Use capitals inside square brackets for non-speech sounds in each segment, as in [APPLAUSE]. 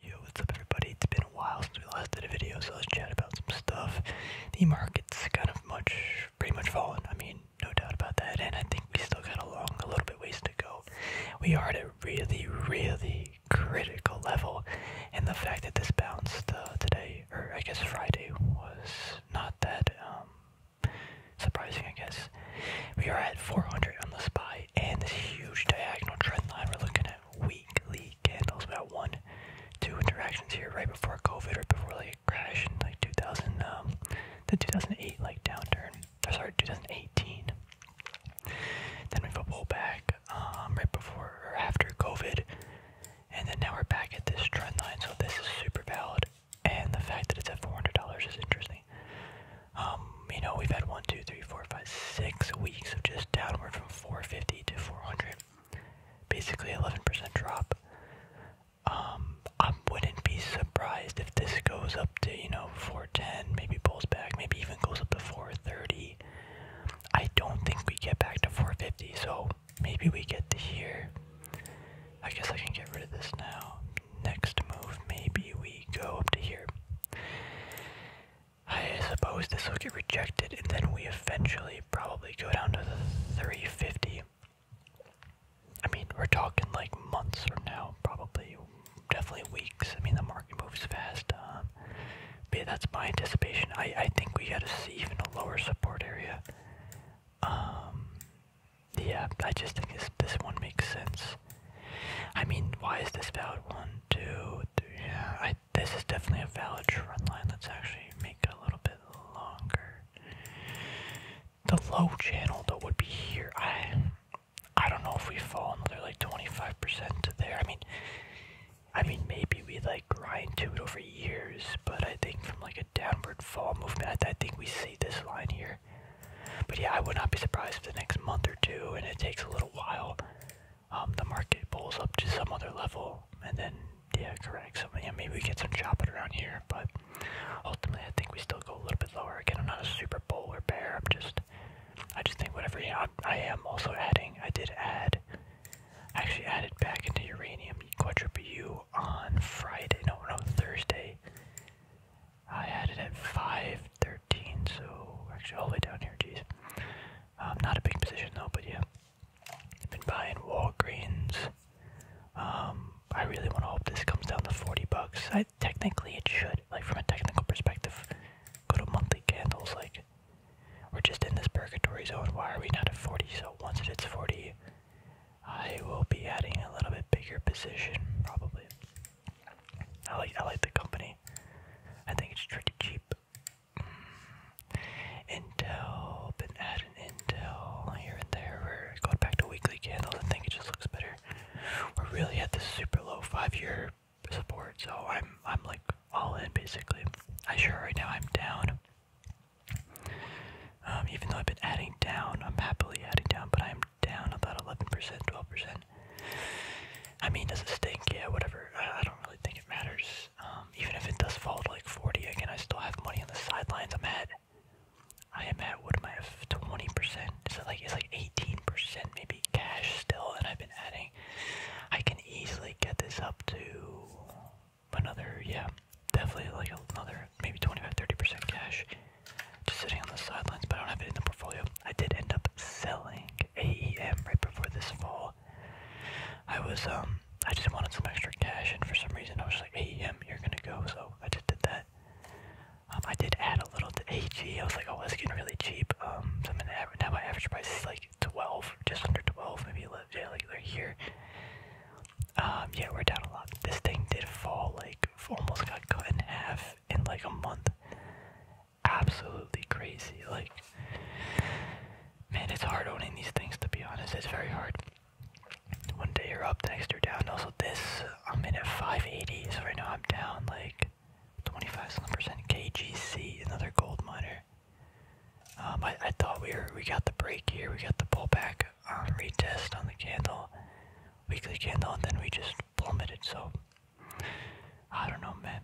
Yo, what's up everybody? It's been a while since we last did a video, so let's chat about some stuff. The market's kind of much, pretty much fallen, I mean, no doubt about that, and I think we still got a long, a little bit ways to go. We are at a really, really critical level, and the fact that this bounced uh, today, or I guess Friday, was not that, um, surprising, I guess. We are at 400 on the SPY, and this huge diagonal trend line we're looking at weekly candles. about one, two interactions here right before COVID, right before like a crash in like 2000, um, the 2008 like downturn. Or sorry, 2018. Then we have a pullback um, right before or after COVID, and then now we're back at this trend line. So this is super valid, and the fact that it's at $400 is interesting. Um, you know, we've had one, two, three, four, five, six weeks of just downward from 450 to 400. Basically, 11% drop. Um, I wouldn't be surprised if this goes up to, you know, 410, maybe pulls back, maybe even goes up to 430. I don't think we get back to 450, so maybe we get to here. I guess I can get rid of this now. Next move, maybe we go up to here. I suppose this will get rejected, and then we eventually probably go down to the 350. I mean, we're talking like months from now, probably, definitely weeks. I mean, the market moves fast. Um, but that's my anticipation. I, I think we gotta see even a lower support area. Um, yeah, I just think this, this one makes sense. I mean, why is this valid? One, two, three. Yeah, I, this is definitely a valid trend line. Let's actually make it a little bit longer. The low channel that would be here. I, I don't know if we fall another like twenty five percent to there. I mean, I mean maybe we like grind to it over years, but I think from like a downward fall movement, I, think we see this line here. But yeah, I would not be surprised for the next month or two, and it takes a little while um, the market pulls up to some other level, and then yeah, correct. So yeah, maybe we get some chopping around here, but ultimately I think we still go a little bit lower. Again, I'm not a super bull or bear. I'm just, I just think whatever. Yeah, I'm, also adding. I did add, actually added back into uranium quadruple U on Friday. No, no Thursday. I added at five thirty. 13, so actually all the way down here, jeez. Um, not a big position though, but yeah. been buying Walgreens. Um, I really want to hope this comes down to 40 bucks. technically it should, like from a technical perspective. Go to monthly candles, like, we're just in this purgatory zone. Why are we not at 40? So once it hits 40, I will be adding a little bit bigger position, probably. I like I like the company. I think it's pretty cheap. Intel, been adding Intel here and there. We're going back to weekly candles. I think it just looks better. We're really at this super low five-year support, so I'm I'm like all in basically. I sure right now I'm down. Um, even though I've been adding down, I'm happily adding down, but I'm down about 11%, 12%. I mean, does it stink? Yeah, whatever. I, don't really think it matters. Um, even if it does fall to like 40 again, I still have money on the sidelines. I'm at, I am at, what am I, 20%? Is it like, it's like 18% maybe cash still, and I've been adding. I can easily get this up to another, yeah, definitely like another, maybe 25, 30% cash just sitting on the sidelines, but I don't have it in the portfolio. I did end up selling AEM right before this fall. I was um I just wanted some extra cash and for some reason I was like AEM you're gonna go so I did that. Um, I did add a little to AG. I was like oh that's getting really cheap. Um so I'm gonna average my average price is like twelve just under twelve maybe yeah like right here. Um yeah we're down a lot. This thing did fall like almost got cut in half in like a month absolutely crazy. Like, man, it's hard owning these things to be honest. It's very hard. One day you're up, the next you're down. Also, this I'm in at 580, so right now I'm down like 25 percent. KGC, another gold miner. Um, I, I thought we were we got the break here, we got the pullback um, retest on the candle, weekly candle, and then we just plummeted. So I don't know, man.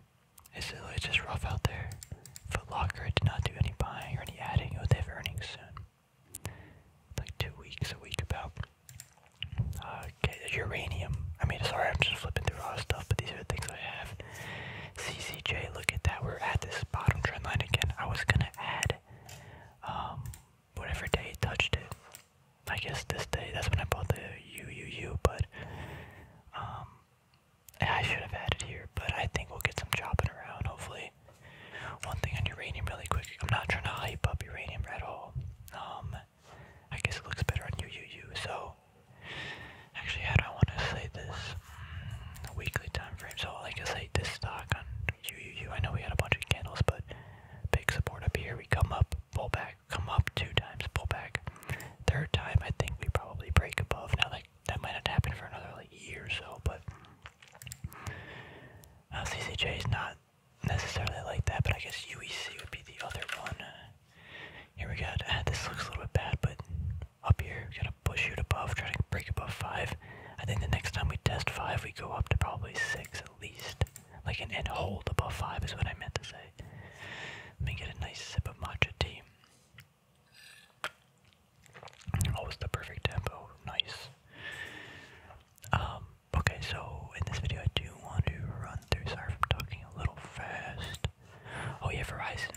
It's, it's just rough out there. Foot Locker did not do any buying or any adding. Oh, they have earnings soon. Like two weeks, a week about. Uh, uranium. I mean, sorry, I'm just flipping through all stuff, but these are the things I have. CCJ, look at that. We're at this bottom trend line again. I was gonna add, um, whatever day it touched it. I guess this day, that's when I bought the UUU, but, um, I should have had it here, but I think we'll get some chopping around, hopefully. One thing on uranium really quick. I'm not trying to hype up uranium at all. Um, I guess it looks better on UUU, so... Actually, I don't want to say this mm, weekly time frames. so like I say, this stock on UUU, I know we had a bunch of candles, but big support up here, we come up, pull back, come up two times, pull back. Third time, I think we probably break above. Now, like that might not happen for another like year or so, but uh, CCJ is not necessarily like that. But I guess UEC would be the other one. here we go. Ah, this looks a little bit bad, but up here, we gotta push it above, trying to break above five. I think the next time we test five, we go up to probably six at least. Like an and hold above five is what I meant to say say. Let me get a nice sip of matcha tea. Always the perfect tempo. Nice. Um, okay, so in this video I do want to run through. Sorry I'm talking a little fast. Oh yeah, Verizon.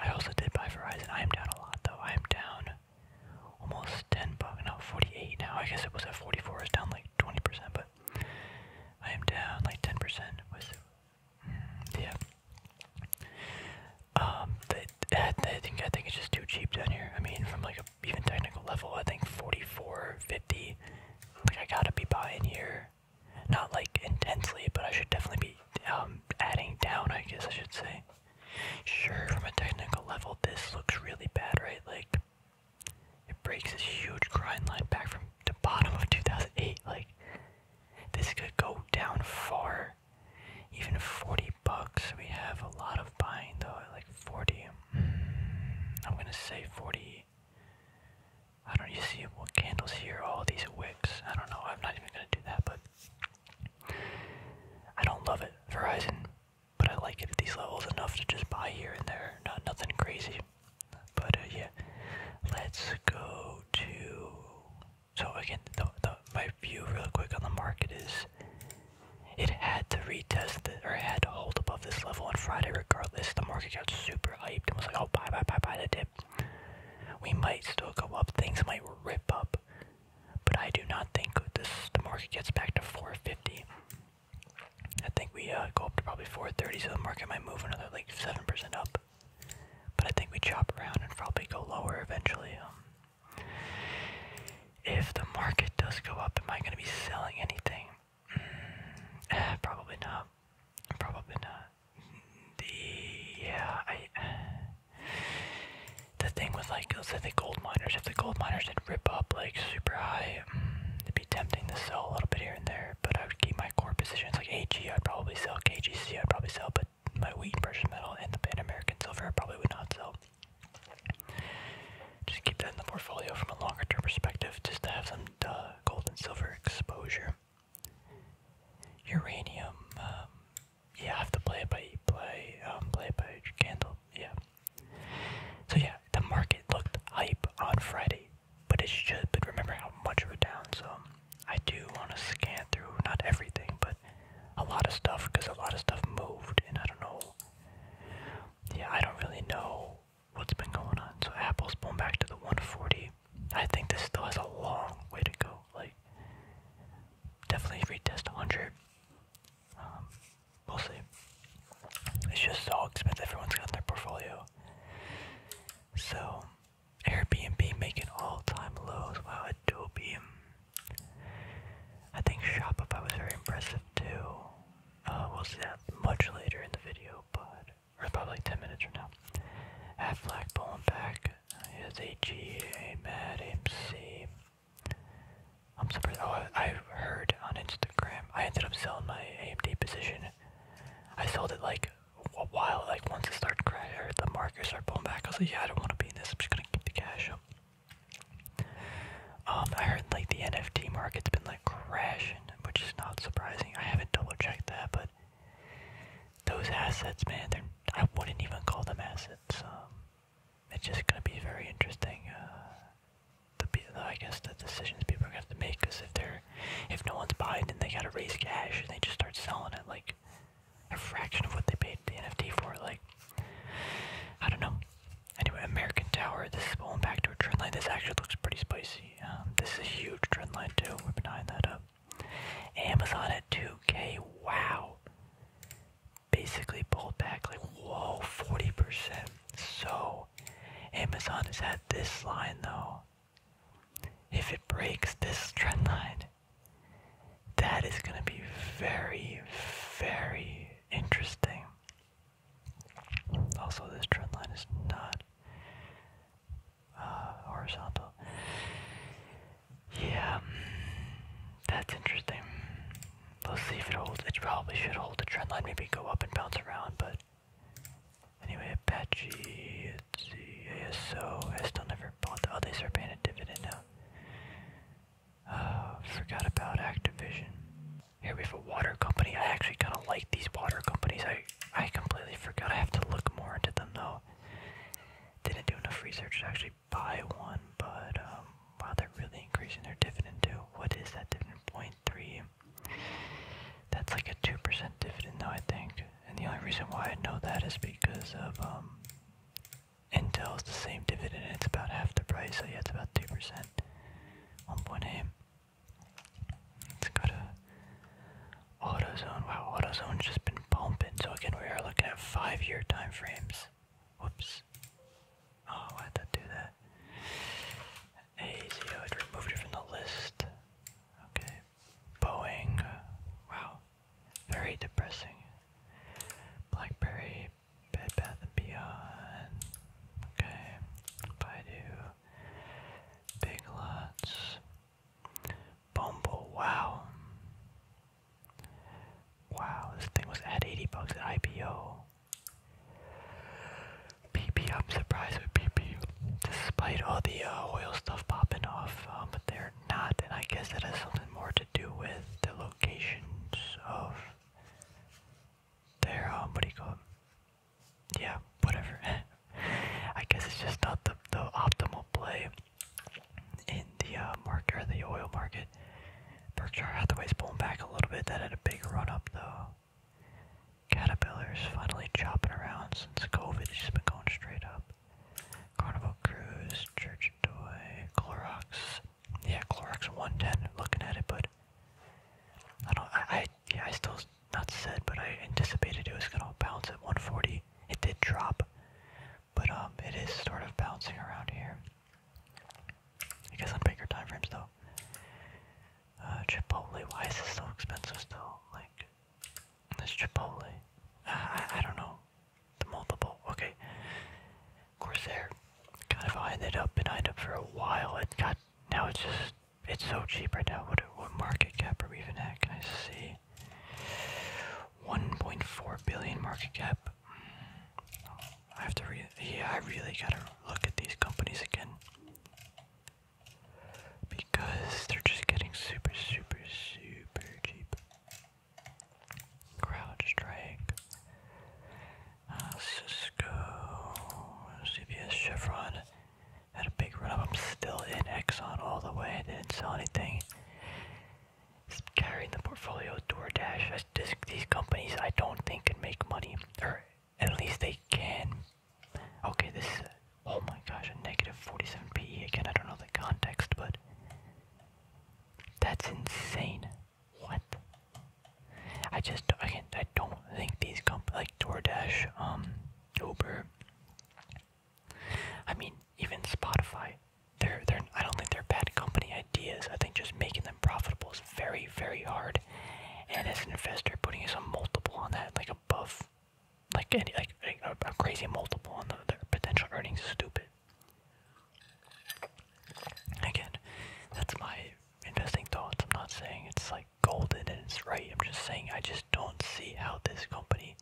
I also did buy Verizon. I am down a lot though. I am down almost 10 bucks. No, 48 now. I guess it was at 44. It's down like 20%, but I am down like 10% with yeah. Um, I think I think it's just too cheap down here. I mean, from like even technical level, I think 44, 50. Like I gotta be buying here, not like intensely, but I should definitely be um adding down. I guess I should say. Sure, from a technical level, this looks really bad, right? Like it breaks this huge grind line back from the bottom of 2008. Like this could go down far. Even 40 bucks. We have a lot of buying though, like 40. Hmm, I'm gonna say 40. I don't you see what candles here, all these wicks. I don't know, I'm not even gonna do that, but I don't love it, Verizon, but I like it at these levels enough to just buy here and there. Not nothing crazy. But uh, yeah, let's go to. So again, the, my view real quick on the market is it had to retest or it had to hold above this level on Friday regardless. The market got super hyped and was like, oh, buy, buy, buy, buy the dip. We might still go up. Things might rip up. But I do not think this the market gets back to 450. I think we uh, go up to probably 430, so the market might move another like 7% up. But I think we chop around and probably go lower eventually. Um, if the market does go up, am I going to be selling anything? Mm, eh, probably not. Probably not. The, yeah, I. The thing with like, let's the gold miners, if the gold miners did rip up like super high, mm, it'd be tempting to sell a little bit here and there but I would keep my core positions like AG. I'd probably sell KGC. I'd probably sell, but my wheat and precious metal and the Pan American silver I probably would not sell. Just keep that in the portfolio from a longer term perspective, just to have some uh, gold and silver exposure. Uranium, um, yeah, I have to play it by play, um, play it by candle, yeah. So yeah, the market looked hype on Friday but it should. But remember how much we're down, so I do want to scan through not everything, but a lot of stuff because a lot of stuff moved, and I don't know. Yeah, I don't really know what's been going on. So Apple's pulling back to the 140. I think this still has a long way to go. Like, definitely retest 100. Um, we'll see. It's just so expensive. Everyone's got their portfolio. So Airbnb making all time lows. Wow, Adobe. I think Shopify was very impressive too. Uh, we'll see that much later in the video, but or probably 10 minutes from now. At Black pulling back is AG, Mad MC. I'm surprised. Oh, I heard on Instagram. I ended up selling my AMD position. I sold it like a while, like once it started crashing, the market started pulling back, I was like, yeah, I don't want to be in this, I'm just gonna keep the cash up. Um, I heard like the NFT market's been like crashing, which is not surprising. I haven't double checked that, but those assets, man, they're, I wouldn't even call them assets. Um, it's just gonna be very interesting. Uh, the, I guess the decisions people have to make, because if they're if no one's buying then they gotta raise cash and they just start selling it like a fraction of what they paid the NFT for, like I don't know. Anyway, American Tower, this is back to a trend line. This actually looks pretty spicy. Um, this is a huge trend line too. We're behind that up. Amazon at 2K, wow. Basically pulled back like whoa, 40%. So Amazon has had this line though. If it breaks this trend line, that is going to be very, very interesting. Also, this trend line is not uh, horizontal. Yeah, mm, that's interesting. Let's see if it holds. It probably should hold the trend line, maybe go up and bounce around, but Anyway, Apache, it's the ASO, I still never bought the, oh, they start paying a dividend now. Uh, forgot about Activision. Here we have a water company. I actually kind of like these water companies. I, I completely forgot. I have to look more into them though. Didn't do enough research to actually buy one, but um, wow, they're really increasing their dividend too. What is that dividend? point three? That's like a 2% dividend though, I think. And the only reason why I know that is because of um Intel's the same dividend, it's about half the price, so yeah it's about two 1.8. Let's go to AutoZone. Wow, AutoZone's just been pumping. So again we are looking at five year time frames. Whoops. Oh, why'd that do that? AZO, it removed it from the list. Okay, Boeing. Wow. Very depressing. Blackberry, Bed Bath and Beyond. Okay. Baidu. Big Lots. Bumble. Wow. Wow, this thing was at 80 bucks at IPO. PP, I'm surprised with PP despite all the uh, oil stuff popping off, um, but they're not, and I guess that has something more to do with the locations of their, um, what do you call it? Yeah, whatever. [LAUGHS] I guess it's just not the, the optimal play in the uh, market, or the oil market. Berkshire Hathaway's pulling back a little bit. That had a big run up, though. Caterpillar is finally chopping around since COVID. She's been going straight up. Carnival Cruise, Church Toy, Clorox. Yeah, Clorox 110. Looking at it, but I don't. I, yeah. I still not said, but I anticipated it was gonna bounce at 140. It did drop, but um, it is sort of bouncing around here. I guess on bigger time frames though. Uh, Chipotle. Why is this expensive still? Like. This Chipotle. I, I don't know. The multiple. Okay. Corsair. Kind of eyed it up and eyed up for a while. It got. Now it's just. It's so cheap right now. What, what market cap are we even at? Can I see? 1.4 billion market cap. I have to re. Yeah, I really gotta look at these companies again because they're just getting super, super, super cheap. Crouch Strike, uh, Cisco, CBS Chevron had a big run up. I'm still in Exxon all the way. I didn't sell anything. carrying the portfolio DoorDash. these companies I don't think can make money, or at least they can Okay, this is oh my gosh, a negative 47 PE. Again, I don't know the context, but that's insane. What? I just, can't. I don't think these comp like DoorDash, um, Uber. I mean, even Spotify. They're, they're, I don't think they're bad company ideas. I think just making them profitable is very, very hard. And as an investor, putting some multiple on that, like above like any like a crazy multiple on their potential earnings is stupid. Again, that's my investing thoughts. I'm not saying it's like golden and it's right. I'm just saying I just don't see how this company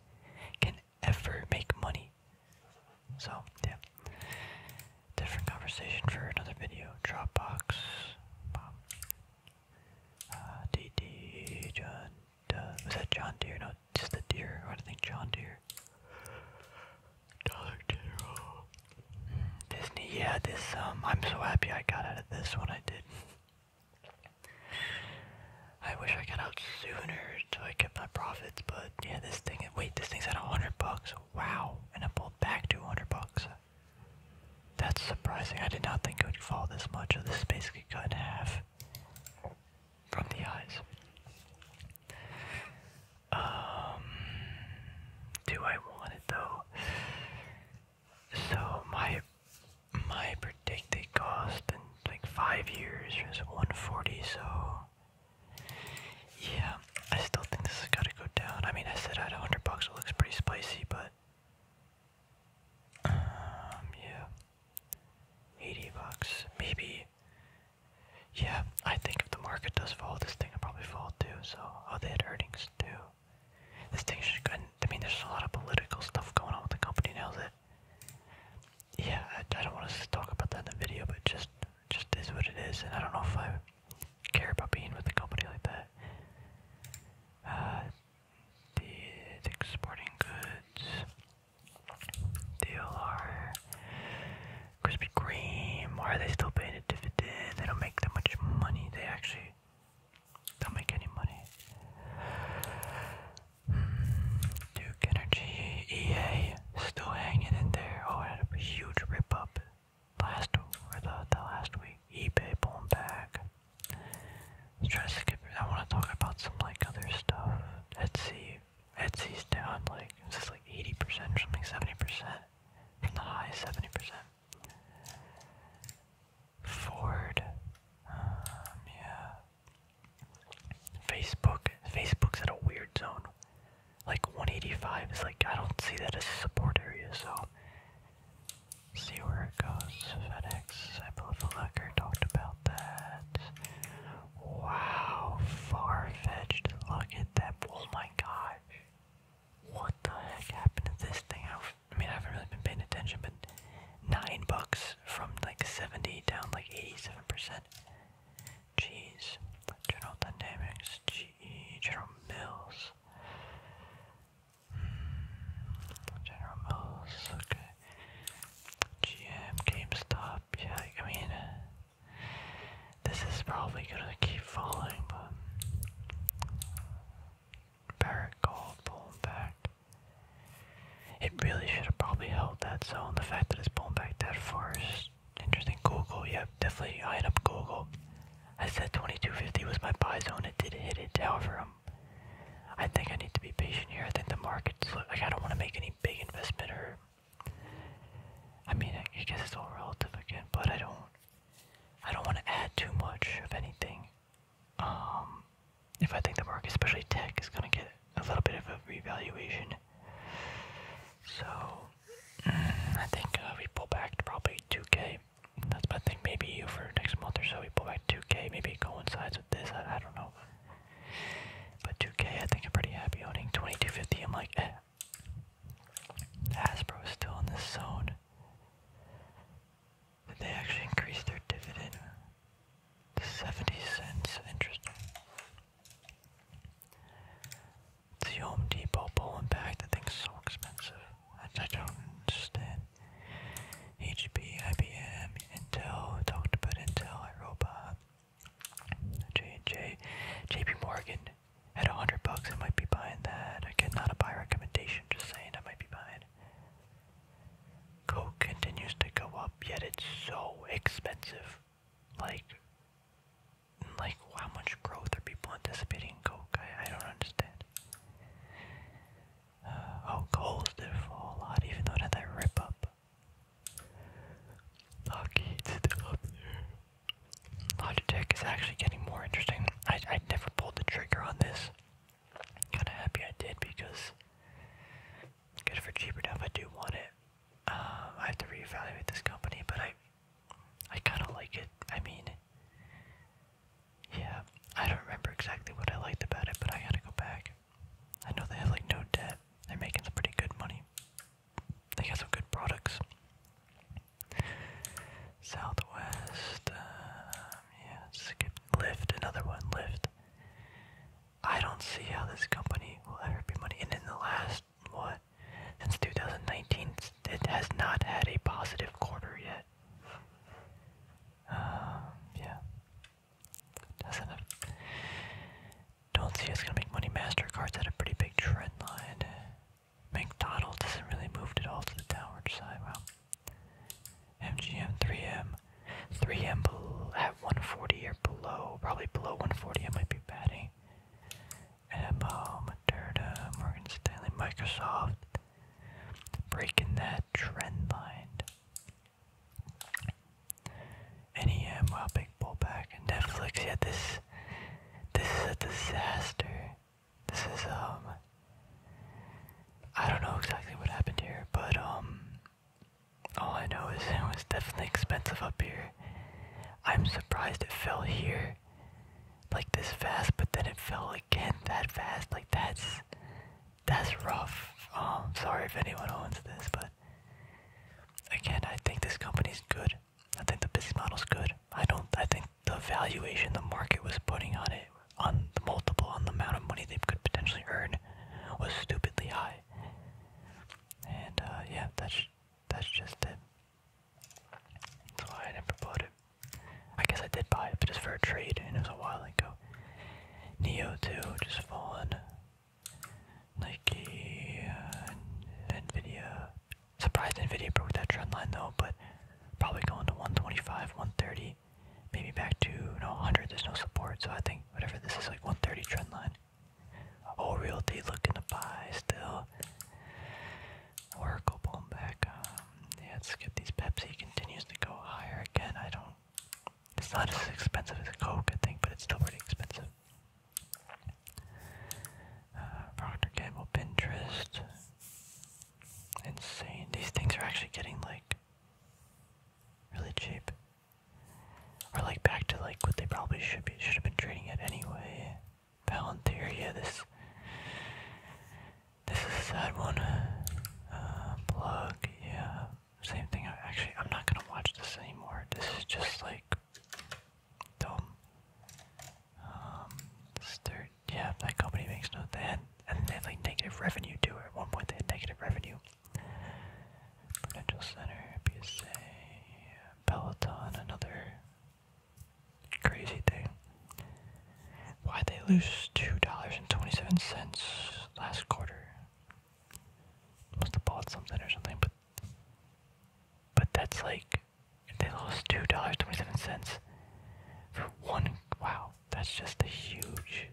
can ever make money. So yeah, different conversation for another video. Dropbox, uh, was that John Deere? No, just a deer. I think John Deere. Dollar General. Disney, yeah, this, um, I'm so happy I got out of this one I did. I wish I got out sooner so I kept my profits, but yeah, this thing, wait, this thing's at 100 bucks. Wow, and it pulled back to 100 bucks. That's surprising. I did not think it would fall this much. So this is basically could have from the eyes. Um, do I want it though? So my my predicted cost in like five years is 140. So yeah, I still think this has got to go down. I mean, I said at 100 bucks it looks pretty spicy, but um, yeah. 80 bucks. Maybe. Yeah, I think if the market does fall, this thing will probably fall too. So, oh, they had earnings too. This thing should go. I mean, there's a lot of political stuff going on with the company now that. Yeah, I, I don't want to talk about that in the video, but just just is what it is, and I don't know if I care about being with a company like that. Uh, the exporting goods. Deal Krispy Kreme. are they still paying a dividend? They don't make that much money. They actually don't make any money. Hmm. Duke Energy, EA, still hanging in there. Oh, had a huge rip up last or the, the last week. eBay pulling back let to skip I wanna talk about some like other stuff. Etsy Etsy's down like it's just like eighty percent or something, seventy percent. From the high seventy percent. Ford. Um, yeah. Facebook. Facebook's at a weird zone. Like 185 is like I don't see that as a support area, so see where it goes. I believe the talked about that. Wow, far fetched. Look at that. Oh my god. What the heck happened to this thing? I mean, I haven't really been paying attention, but nine bucks from like 70 down like 87%. Jeez. General Dynamics. Gee, General Mills. Hmm. General Mills. Okay. GM, GameStop, yeah, I mean, uh, this is probably gonna keep falling, but Gold pulling back. It really should have probably held that zone. The fact that it's pulling back that far is interesting. Google, yep, definitely eyeing up Google. I said 2250 was my buy zone. It did hit it. However, i I think I need to be patient here. I think the market's like I don't want to make any big investment or. I mean, I guess it's all relative again, but I don't. I don't want to add too much of anything. Um, if I think the market, especially tech, is gonna get a little bit of a revaluation, so mm, I think uh, we pull back to probably 2K. That's my thing. Maybe you for next month or so, we pull back 2K. Maybe it coincides with this. I don't know. But 2K, I think I'm pretty happy owning 2250. I'm like, eh. Hasbro is still in this zone. Did they actually increase their dividend to 70 cents? Interesting. It's the Home Depot pulling back. That thing's so expensive. I don't understand. HP, IBM, Intel, talked about Intel, iRobot, J&J, JP Morgan, at 100 bucks I might be buying that, again not a buy recommendation, just saying I might be buying. Coke continues to go up, yet it's so expensive, like, like how much growth are people anticipating Coke, I, I don't understand. Oh, goals did fall a lot, even though it had rip up. Hockey, it's still up there. Logitech is actually getting more interesting. I I never pulled the trigger on this. Kind of happy I did because good for cheaper now if I do want it. Um, I have to reevaluate this company, but I I kind of like it. I mean, yeah, I don't remember exactly what I liked about it, but I gotta go back. I know they have like no debt. They're making some pretty good money. They got some good products. Southwest, uh, yeah, skip Lyft, another one, Lyft. I don't see how this company will ever be money. And in the last what since 2019, it has not had a positive quarter yet. Um, yeah, doesn't Don't see it's gonna make money. Mastercard's at a pretty big trend line. McDonald's hasn't really moved at all to the downward side. Wow. MGM, 3M, 3M at 140 or below. Probably below 140. I might be betting eh? MO, Moderna, Morgan Stanley, Microsoft. Breaking that trend line. Any Amwell um, big pullback and Netflix. Yeah, this this is a disaster. This is um I don't know exactly what happened here, but um all I know is [LAUGHS] it was definitely expensive up here. I'm surprised it fell here like this fast, but then it fell again that fast. Like that's that's rough. Um, sorry if anyone owns this, but again, I think this company's good. I think the business model's good. I don't. I think the valuation the market was putting on it, on the multiple, on the amount of money they could potentially earn, was stupidly high. And uh, yeah, that's that's just it. That's why I never bought it. I guess I did buy it, but just for a trade, and it was a while ago. Neo 2 just fallen. Nike, uh, Nvidia. Surprised Nvidia broke that trend line though, but probably going to 125, 130, maybe back to no 100. There's no support, so I think whatever this is like 130 trend line. Oh, Realty looking to buy still. Oracle pulling back. Um, yeah, skip these. Pepsi continues to go higher again. I don't it's not as expensive as Coke, I think, but it's still pretty expensive. Uh, Procter Gamble, Pinterest. Insane. These things are actually getting like really cheap. Or like back to like what they probably should be should have been trading at anyway. Palantir, this this is a sad one. Uh, plug, yeah. Same thing, actually, I'm not gonna watch this anymore. This is just like dumb. Um, third, yeah, that company makes no, they and they had like negative revenue too. At one point, they had negative revenue. Prudential Center, PSA, Peloton, another crazy thing. why they lose $2.27 last quarter? must have bought something or something, but but that's like they lost two dollars twenty seven cents for one. Wow, that's just a huge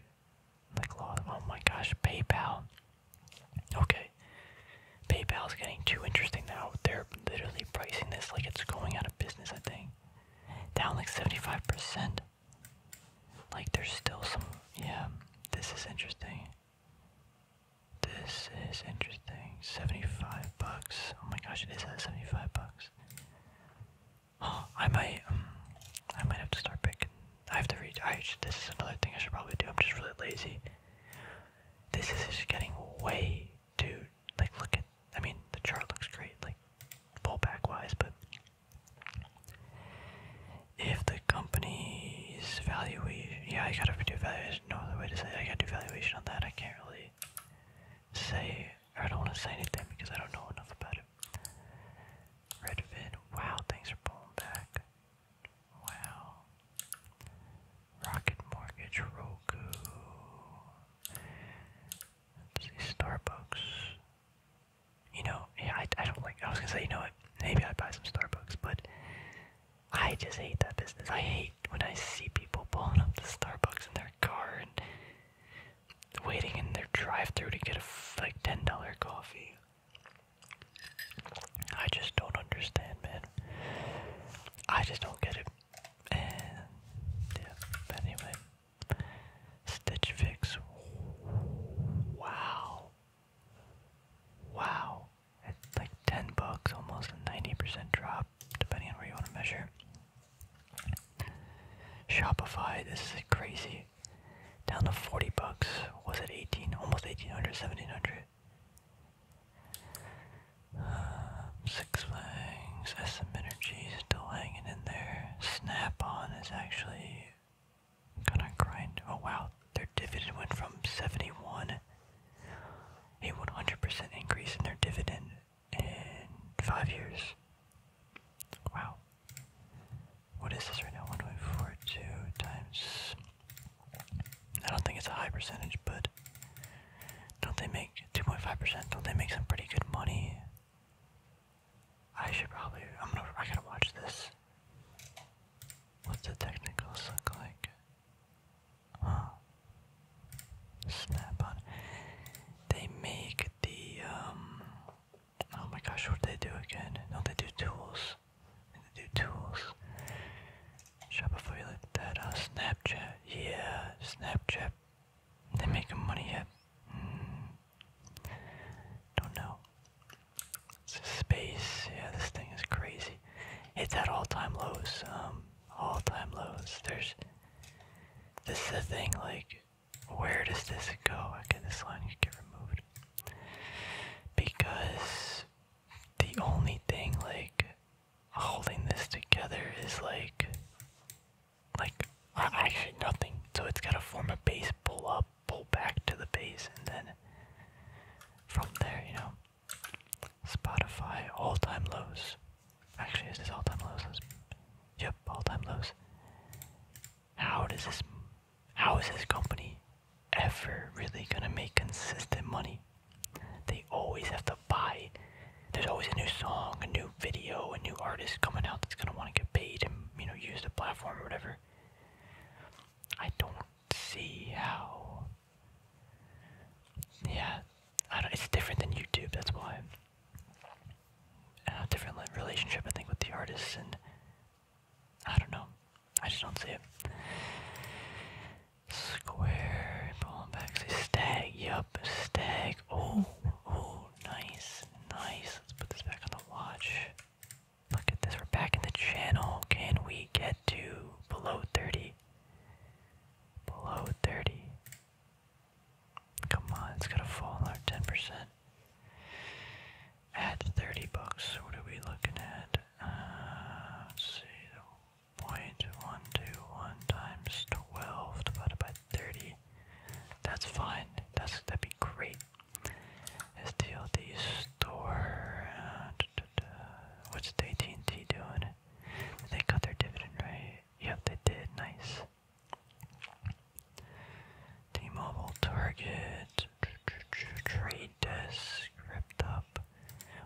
like loss. Oh my gosh, PayPal. Okay, PayPal's getting too interesting now. They're literally pricing this like it's going out of business. I think down like seventy five percent. Like there's still some yeah, this is interesting. This is interesting. 75 bucks. Oh my gosh, it is at 75 bucks. Oh, I might um, I might have to start picking. I have to read I this is another thing I should probably do. I'm just really lazy. This is just getting way too like look at I mean the chart looks great, like pullback wise, but if the company's valuation, yeah, I gotta do valuation. No other way to say it. I gotta do valuation on that. I can't really say, I don't want to say anything because I don't know enough about it. Redfin, wow, things are pulling back. Wow. Rocket Mortgage, Roku. see, Starbucks you know, I, I don't like, I was gonna say, you know what, maybe I'd buy some Starbucks, but I just hate that business. I hate when I see people pulling up the Starbucks in their car and waiting in their drive through to get a like $10 coffee. I just don't understand, man. I just don't get it. And, yeah, but anyway. Stitch Fix. Wow. Wow, it's like 10 bucks, almost a 90% drop, depending on where you want to measure. Shopify, this is crazy. Down to 40 bucks. Was it 18? Almost 1800, 1700. Uh, six Flags, SM Energy still hanging in there. Snap on is actually I'm grind. Oh wow, their dividend went from 71, a 100% increase in their dividend in five years. Wow. What is this right now? 1.42 times. I don't think it's a high percentage, but don't they make 2.5%? Don't they make some pretty good money? I should probably. I'm gonna. I gotta watch this. What's the technicals look like? Huh. Snap on. They make the um. Oh my gosh, what do they do again? No, they do tools. They do tools. Shopify like that. Uh, Snapchat. Yeah, Snapchat. They making money yet? Mm. Don't know. Space, yeah, this thing is crazy. It's at all-time lows. Um, all-time lows. There's. This is the thing. Like, where does this go? Okay, this line could get removed because the only thing like holding this together is like, like actually nothing. So it's gotta form a base pull up pull back to the base and then from there, you know. Spotify all time lows. Actually, is this all time lows? Yep, all time lows. How does this? How is this company ever really gonna make consistent money? They always have to buy. There's always a new song, a new video, a new artist coming out that's gonna want to get paid and you know use the platform or whatever. I don't see how. Yeah, I don't, it's different than YouTube. That's why. Uh, different relationship, I think, with the artists, and I don't know. I just don't see it. Square ball back. stag. Yup, stag. Oh, oh, nice, nice. Let's put this back on the watch. Look at this, we're back in the channel. Can we get to below 30? Below 30. Come on, it's gonna fall another 10%. At 30 bucks, what are we looking at? Uh, let's see, point one two one times 12 divided by 30. That's fine. That's that'd be great. Is store? Uh, what's the at t doing? They got their dividend right. Yep, they did. Nice. T-Mobile, Target, Trade Desk, ripped up.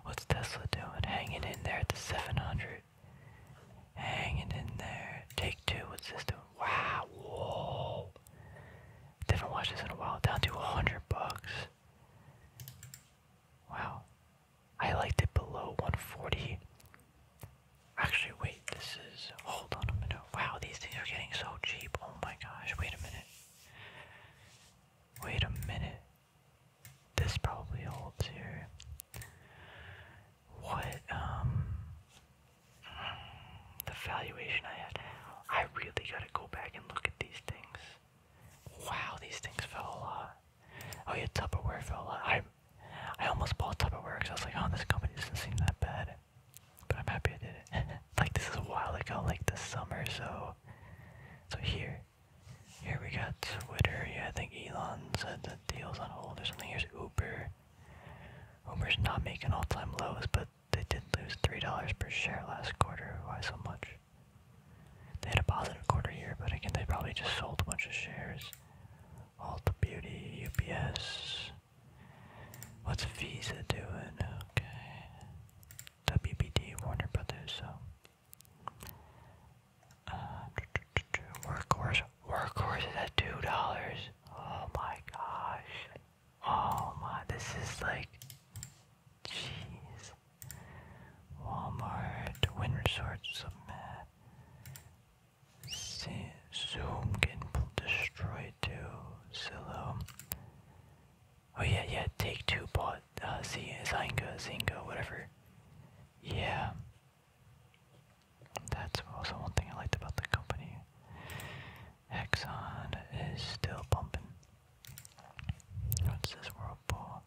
What's Tesla doing? Hanging in there at the 700. Hanging in there. Take two. What's this Wow. Didn't watch this in a while. Down to 100 bucks. Wow. I liked it below 140. Actually, wait, this is. Hold on a minute. Wow, these things are getting so cheap. Oh my gosh, wait a minute. Wait a minute. This probably holds here. What, um the valuation I had. I really gotta go back and look at these things. Wow, these things fell a lot. Oh yeah, Tupperware fell a lot. I, I almost bought Tupperware because I was like, oh, this company doesn't seem that bad. But I'm happy I did it. [LAUGHS] like this is a while ago, like the summer, so so here. Here we got Twitter. Yeah, I think Elon said that deal's on hold or something. Here's Uber. Uber's not making all-time lows, but they did lose $3 per share last quarter. Why so much? They had a positive quarter here, but again, they probably just sold a bunch of shares. All the Beauty, UPS. What's Visa doing? WBD, Warner Brothers, so. Uh, workhorse, workhorse is at $2. Oh my gosh. Oh my, this is like, jeez. Walmart, Win Resorts, mad. See, Zoom getting destroyed too. Zillow. Oh yeah, yeah. Take two bought. Uh, see, Zynga, Zynga, whatever. Yeah. That's also one thing I liked about the company. Exxon is still pumping. What's this whirlpool?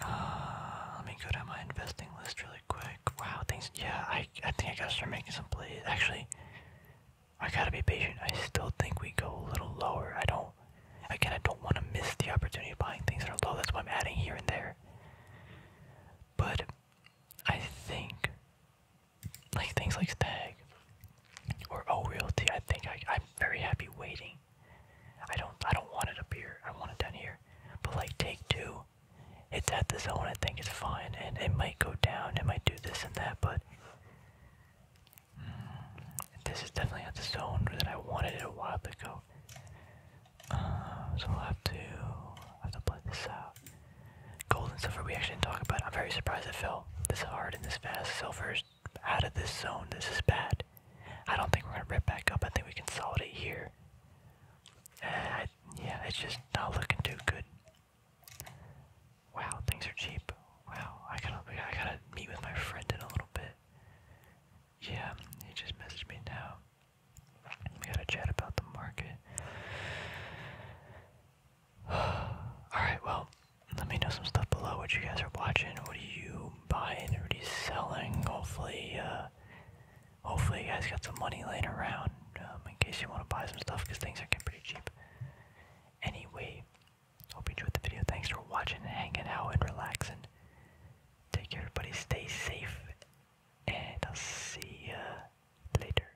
Uh, let me go down my investing list really quick. Wow, things. Yeah, I I think I gotta start making some plays. Actually, I gotta be patient. I still think we go a little lower. I don't. Again, I don't want to miss the opportunity of buying things that are low. That's why I'm adding here and there. But I think like things like Stag or O oh, Realty. I think I, am very happy waiting. I don't I don't want it up here. I want it down here. But like take two, it's at the zone. I think it's fine, and it might go down. It might do this and that, but mm, this is definitely at the zone that I wanted it a while ago. Uh, so we will have to i have to play this out. Gold and silver we actually didn't talk about. I'm very surprised it fell this hard and this fast. Silver's out of this zone. This is bad. I don't think we're gonna rip back up. I think we consolidate here. Uh, I, yeah, it's just not looking too good. Wow, things are cheap. Wow, I gotta, I gotta meet with my friend in a little bit. Yeah, he just messaged me now. We gotta chat about the market. [SIGHS] Alright, well, let me know some stuff below what you guys are watching. What are you buying? What are you selling? Hopefully, uh, hopefully you guys got some money laying around um, in case you want to buy some stuff because things are getting pretty cheap. Anyway, hope you enjoyed the video. Thanks for watching and hanging out and relaxing. Take care, everybody. Stay safe, and I'll see ya later.